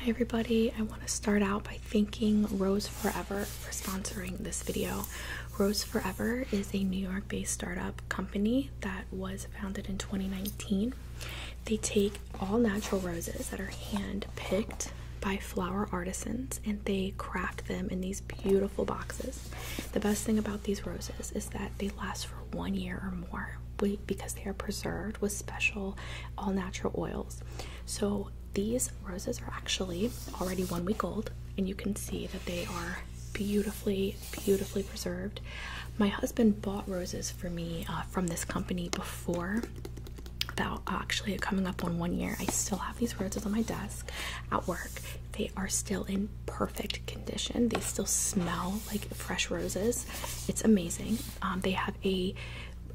Hi everybody, I want to start out by thanking Rose Forever for sponsoring this video. Rose Forever is a New York based startup company that was founded in 2019. They take all natural roses that are hand picked by flower artisans and they craft them in these beautiful boxes. The best thing about these roses is that they last for one year or more because they are preserved with special all natural oils. So these roses are actually already one week old, and you can see that they are beautifully, beautifully preserved. My husband bought roses for me uh, from this company before. About uh, actually coming up on one year, I still have these roses on my desk at work. They are still in perfect condition. They still smell like fresh roses. It's amazing. Um, they have a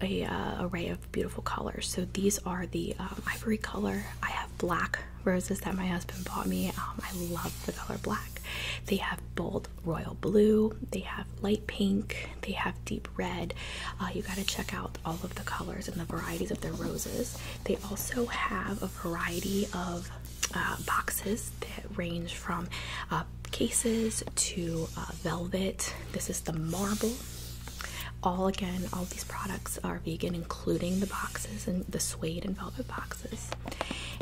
a uh, array of beautiful colors. So these are the um, ivory color. I have black roses that my husband bought me. Um, I love the color black. They have bold royal blue. They have light pink. They have deep red. Uh, you got to check out all of the colors and the varieties of their roses. They also have a variety of uh, boxes that range from uh, cases to uh, velvet. This is the marble. All again, all these products are vegan, including the boxes and the suede and velvet boxes.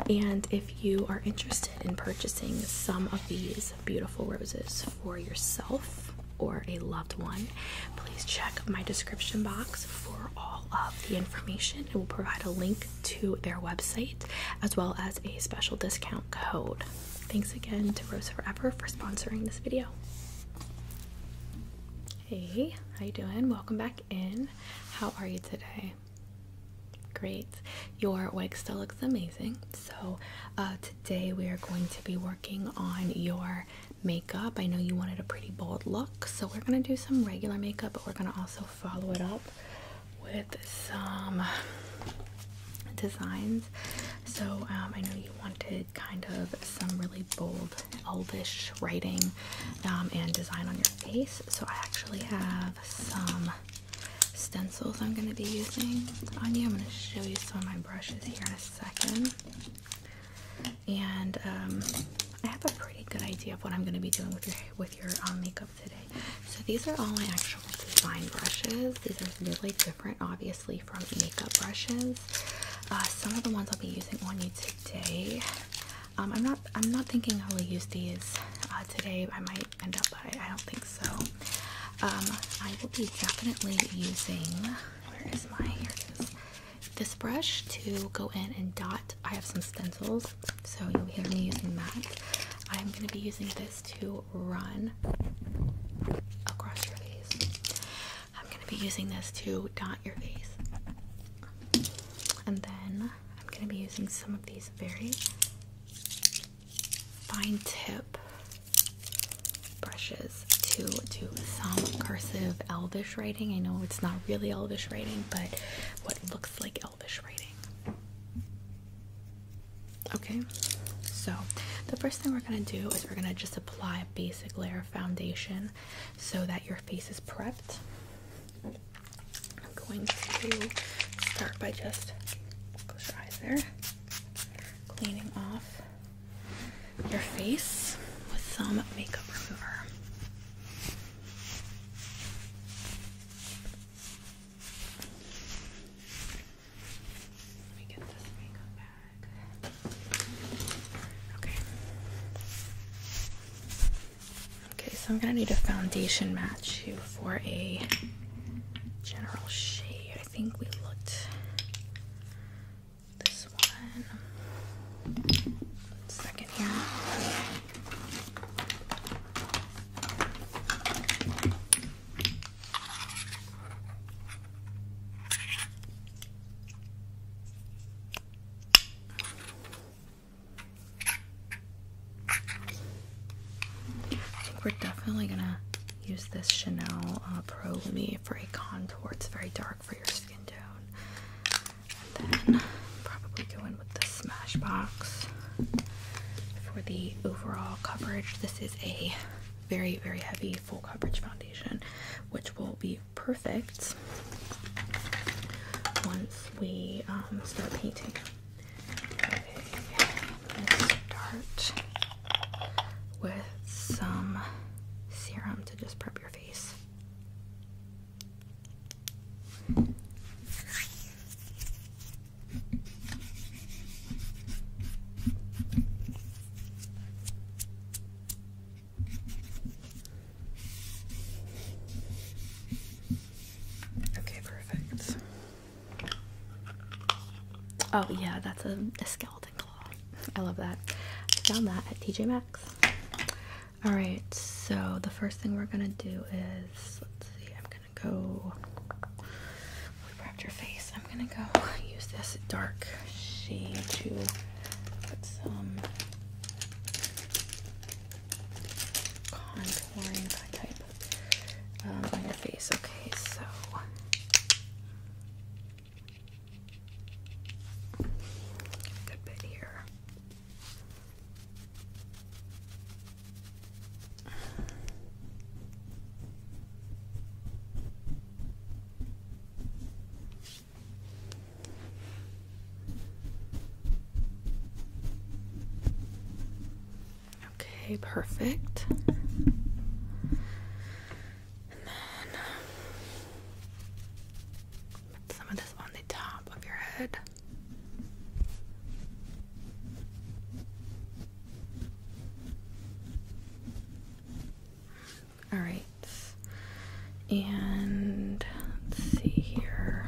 And if you are interested in purchasing some of these beautiful roses for yourself or a loved one, please check my description box for all of the information. It will provide a link to their website as well as a special discount code. Thanks again to Rose Forever for sponsoring this video. Hey, how you doing? Welcome back in. How are you today? Great. Your wig still looks amazing. So uh, today we are going to be working on your makeup. I know you wanted a pretty bold look, so we're gonna do some regular makeup, but we're gonna also follow it up with some designs. So um, I know you wanted kind of some really bold elvish writing um, and design on your face. So I actually have some stencils I'm going to be using on you. I'm going to show you some of my brushes here in a second. And um, I have a pretty good idea of what I'm going to be doing with your with your um, makeup so these are all my actual design brushes. These are really different, obviously, from makeup brushes. Uh, some of the ones I'll be using on you today. Um, I'm not. I'm not thinking I'll use these uh, today. I might end up, I, don't think so. Um, I will be definitely using. Where is my? Here it is. This brush to go in and dot. I have some stencils so you'll hear me using that. I'm going to be using this to run across your face. I'm going to be using this to dot your face. And then I'm going to be using some of these very fine tip brushes to do some cursive elvish writing. I know it's not really elvish writing, but what looks like elvish Elvish writing. Okay, so the first thing we're going to do is we're going to just apply a basic layer of foundation so that your face is prepped. I'm going to start by just close your eyes there, cleaning off your face with some makeup remover. Okay. Okay, so I'm gonna need a foundation match you for a general shade. I think we looked this one. One second here. I think we're definitely gonna use this Chanel uh, Pro Lumi for a contour. It's very dark for your skin tone. And then probably go in with the Smashbox for the overall coverage. This is a very, very heavy full coverage foundation, which will be perfect once we um, start painting. let's start with some serum to just prep your face. Okay, perfect. Oh, yeah, that's a, skeleton claw. I love that. I found that at TJ Maxx. Alright, so the first thing we're gonna do is let's see, I'm gonna go we wrapped your face. I'm gonna go use this dark shade to put some contouring type um, on your face. Okay, so good bit here. Okay, perfect. And then some of this on the top of your head. All right. And let's see here.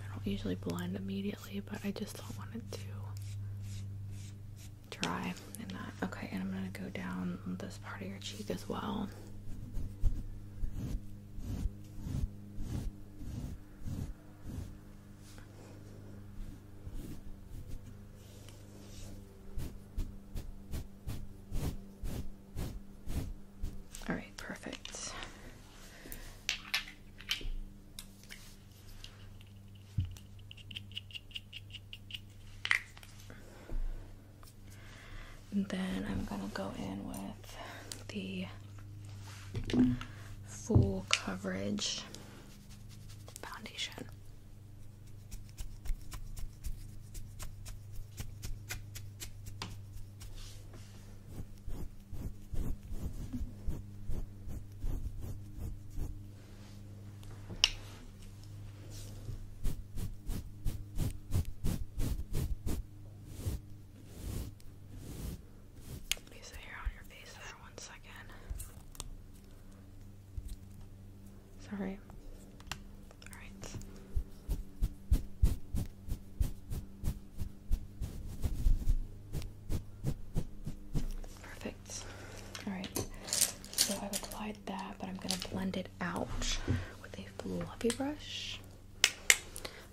I don't usually blend immediately, but I just don't want it to dry and not. Okay, and I'm gonna go down this part of your cheek as well. All right, perfect. And then I'm going to go in with the full coverage foundation. Place the hair on your face there one second. Sorry. Alright. Perfect. Alright. So I've applied that, but I'm going to blend it out with a fluffy brush.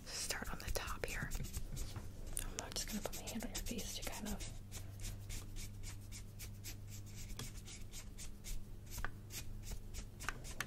Start on the top here. I'm just going to put my hand on your face to kind of.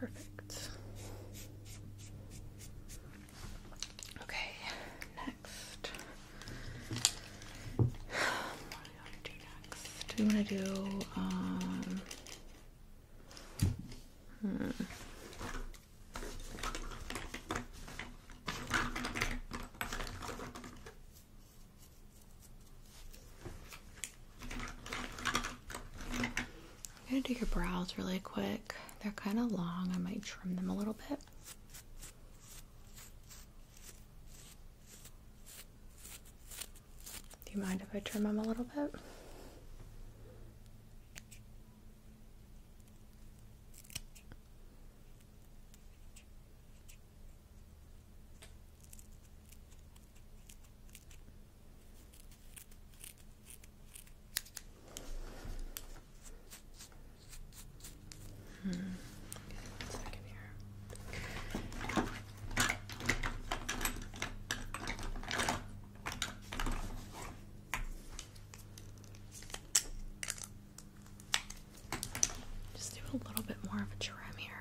Perfect. Okay, next do we want to do um, hmm. I'm gonna do your brows really quick. They're kind of long. I might trim them a little bit. Do you mind if I trim them a little bit? Just do a little bit more of a trim here.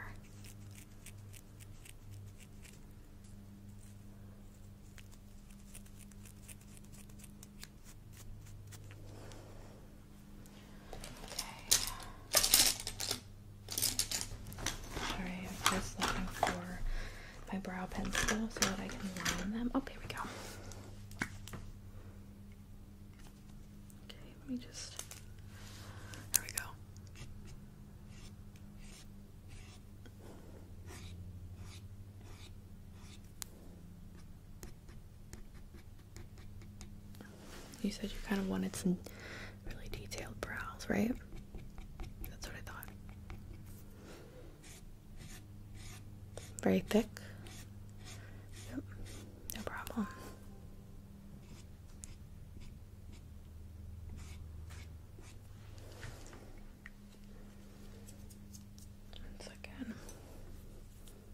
Sorry, I'm just looking for my brow pencil so that I can line them. Oh, here we go. Okay, let me just. There we go. You said you kind of wanted some really detailed brows, right? That's what I thought. Very thick. Yep, no problem. One second. Okay.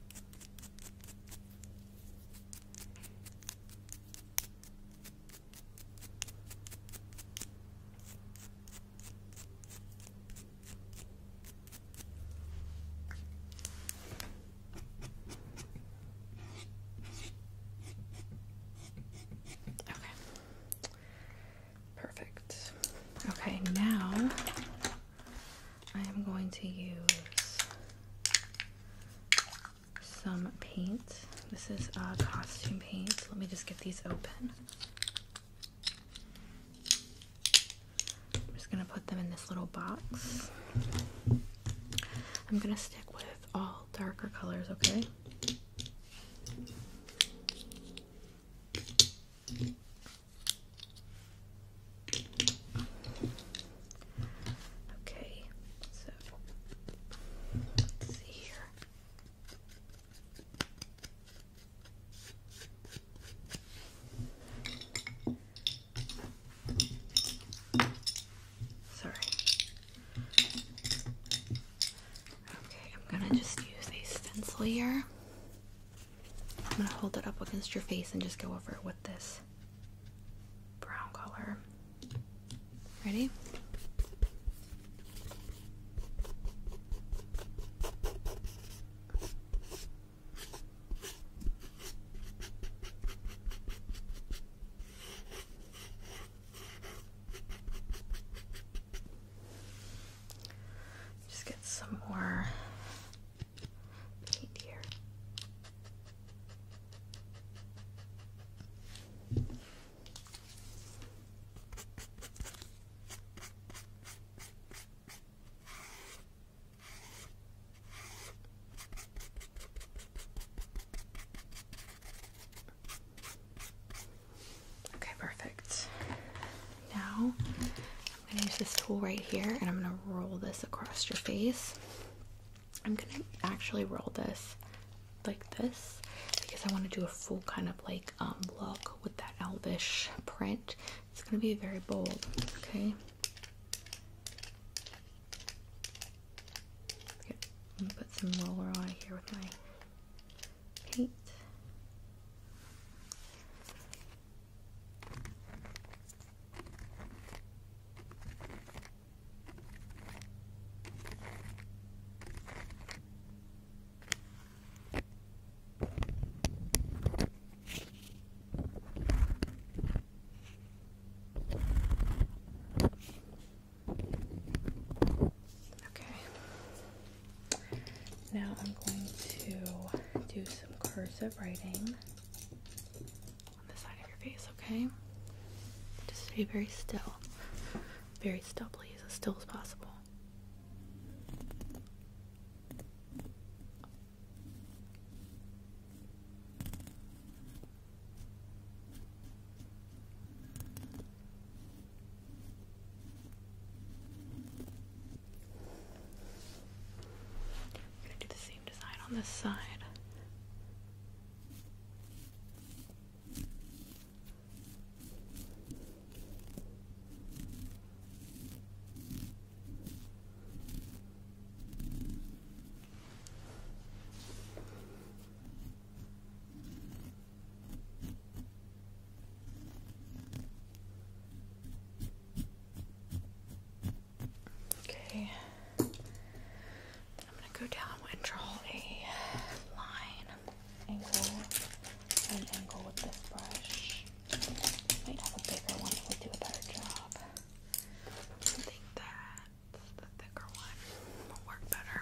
Perfect. Okay, now I am going to use some paint. This is a costume paint. Let me just get these open. I'm just going to put them in this little box. I'm going to stick with all darker colors, okay? Okay, so let's see here. Sorry. Okay, I'm gonna just use a stencil here. I'm gonna hold it up against your face and just go over it with this brown color. Ready? Just get some more paint here. Okay, perfect. Now I'm gonna use this tool right here and I'm gonna roll this across your face. I'm gonna actually roll this like this because I want to do a full kind of like um look with that elvish print. It's gonna be very bold, okay? Yep. I'm put some roller on here with my Kate. Okay. Now I'm going to do some cursive writing on the side of your face, okay? Just be very still. Very still, please, as still as possible. I'm gonna do the same design on this side. Okay. I'm gonna go down and draw a line, angle, and angle with this brush. Might have a bigger one if we do a better job. I think the thicker one will work better.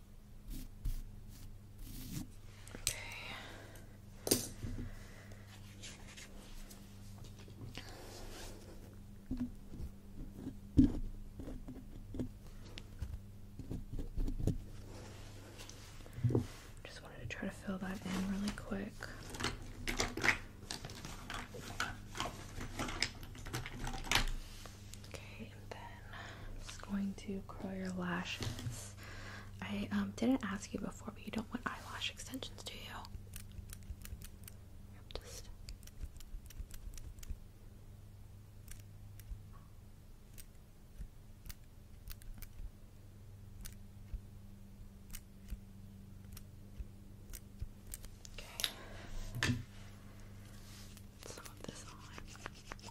Okay. Just wanted to try to fill that in really quick. Okay, and then I'm just going to curl your lashes. I um, didn't ask you before, but you don't want eyelash extensions, do you? I'm just. Okay. this on.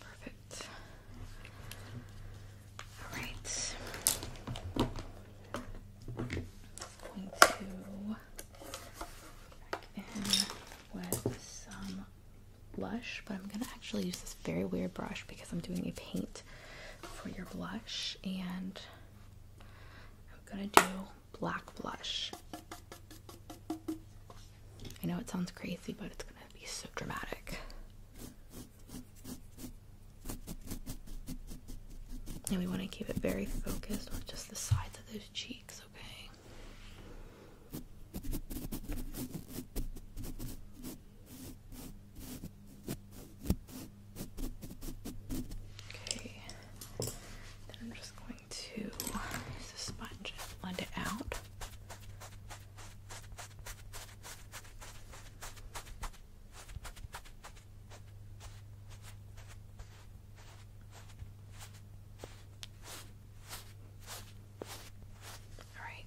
Perfect. All going to back in with some blush, but I'm gonna actually use this very weird brush because I'm doing a paint for your blush, and I'm gonna do black blush. I know it sounds crazy, but it's gonna be so dramatic. And we want to keep it very focused on just the sides of those cheeks, okay? Okay. Then I'm just going to use a sponge blend it out. Alright.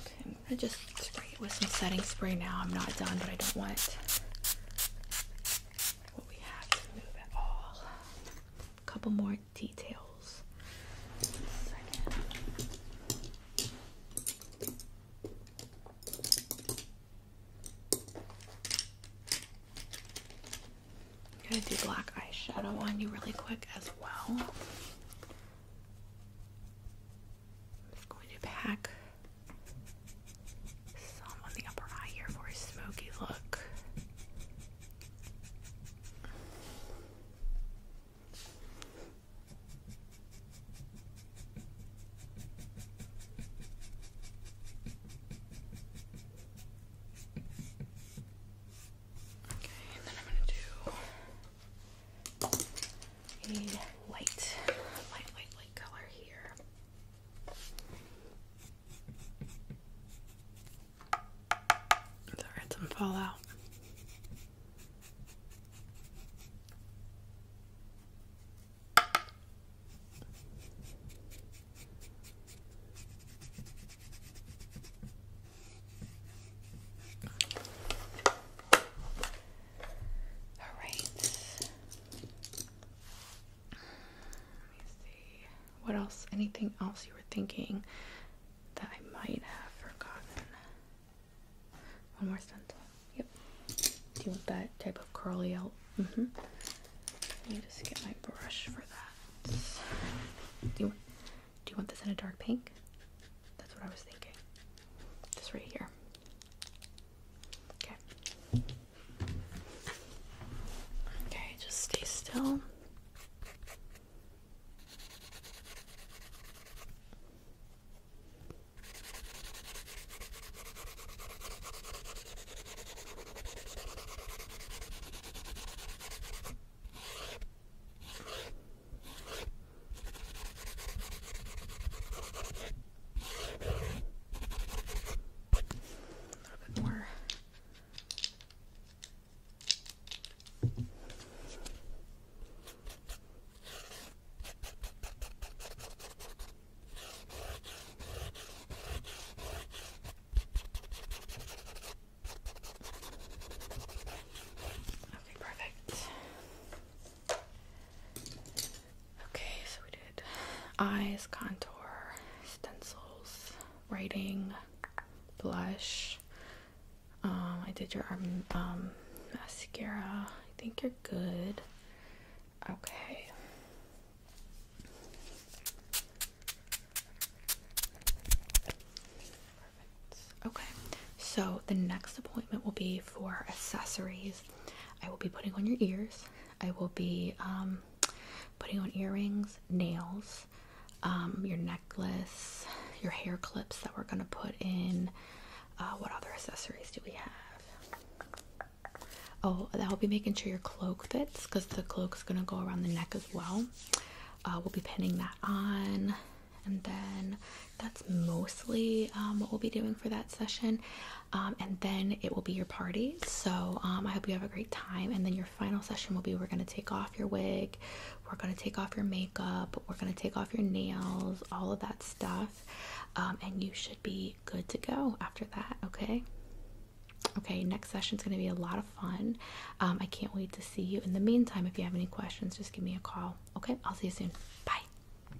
Okay, I'm gonna just spray it with some setting spray now. I'm not done, but I don't want a couple more details. going gonna do black eyeshadow on you really quick as well. just going to pack some on the upper eye here for a smoky look. Okay, and then I'm going to do a light, light, light, light color here. So I some fallout. All right. Let me see. What else? Anything else you were thinking that I might have forgotten? One more stencil. Yep. Do you want that type of curly out? Mm-hmm. Let me just get my brush for that. Do you, do you want this in a dark pink? That's what I was thinking. This right here. Okay. Okay, just stay still. A little Okay, perfect. Okay, so we did eyes, contour, stencils, writing, blush. Um, I did your arm, um, um, mascara. I think you're good. Okay. Perfect. Okay, so the next appointment will be for accessories. I will be putting on your ears. I will be um, putting on earrings, nails, um, your necklace, your hair clips that we're gonna put in. Uh, what other accessories do we have? Oh, I'll be making sure your cloak fits because the cloak is gonna go around the neck as well. Uh, we'll be pinning that on and then that's mostly um, what we'll be doing for that session um, and then it will be your party. So um, I hope you have a great time. And then your final session will be we're going to take off your wig, we're going to take off your makeup, we're going to take off your nails, all of that stuff. Um, and you should be good to go after that, okay? Okay, next session is going to be a lot of fun. I can't wait to see you. In the meantime, if you have any questions, just give me a call. Okay, I'll see you soon. Bye.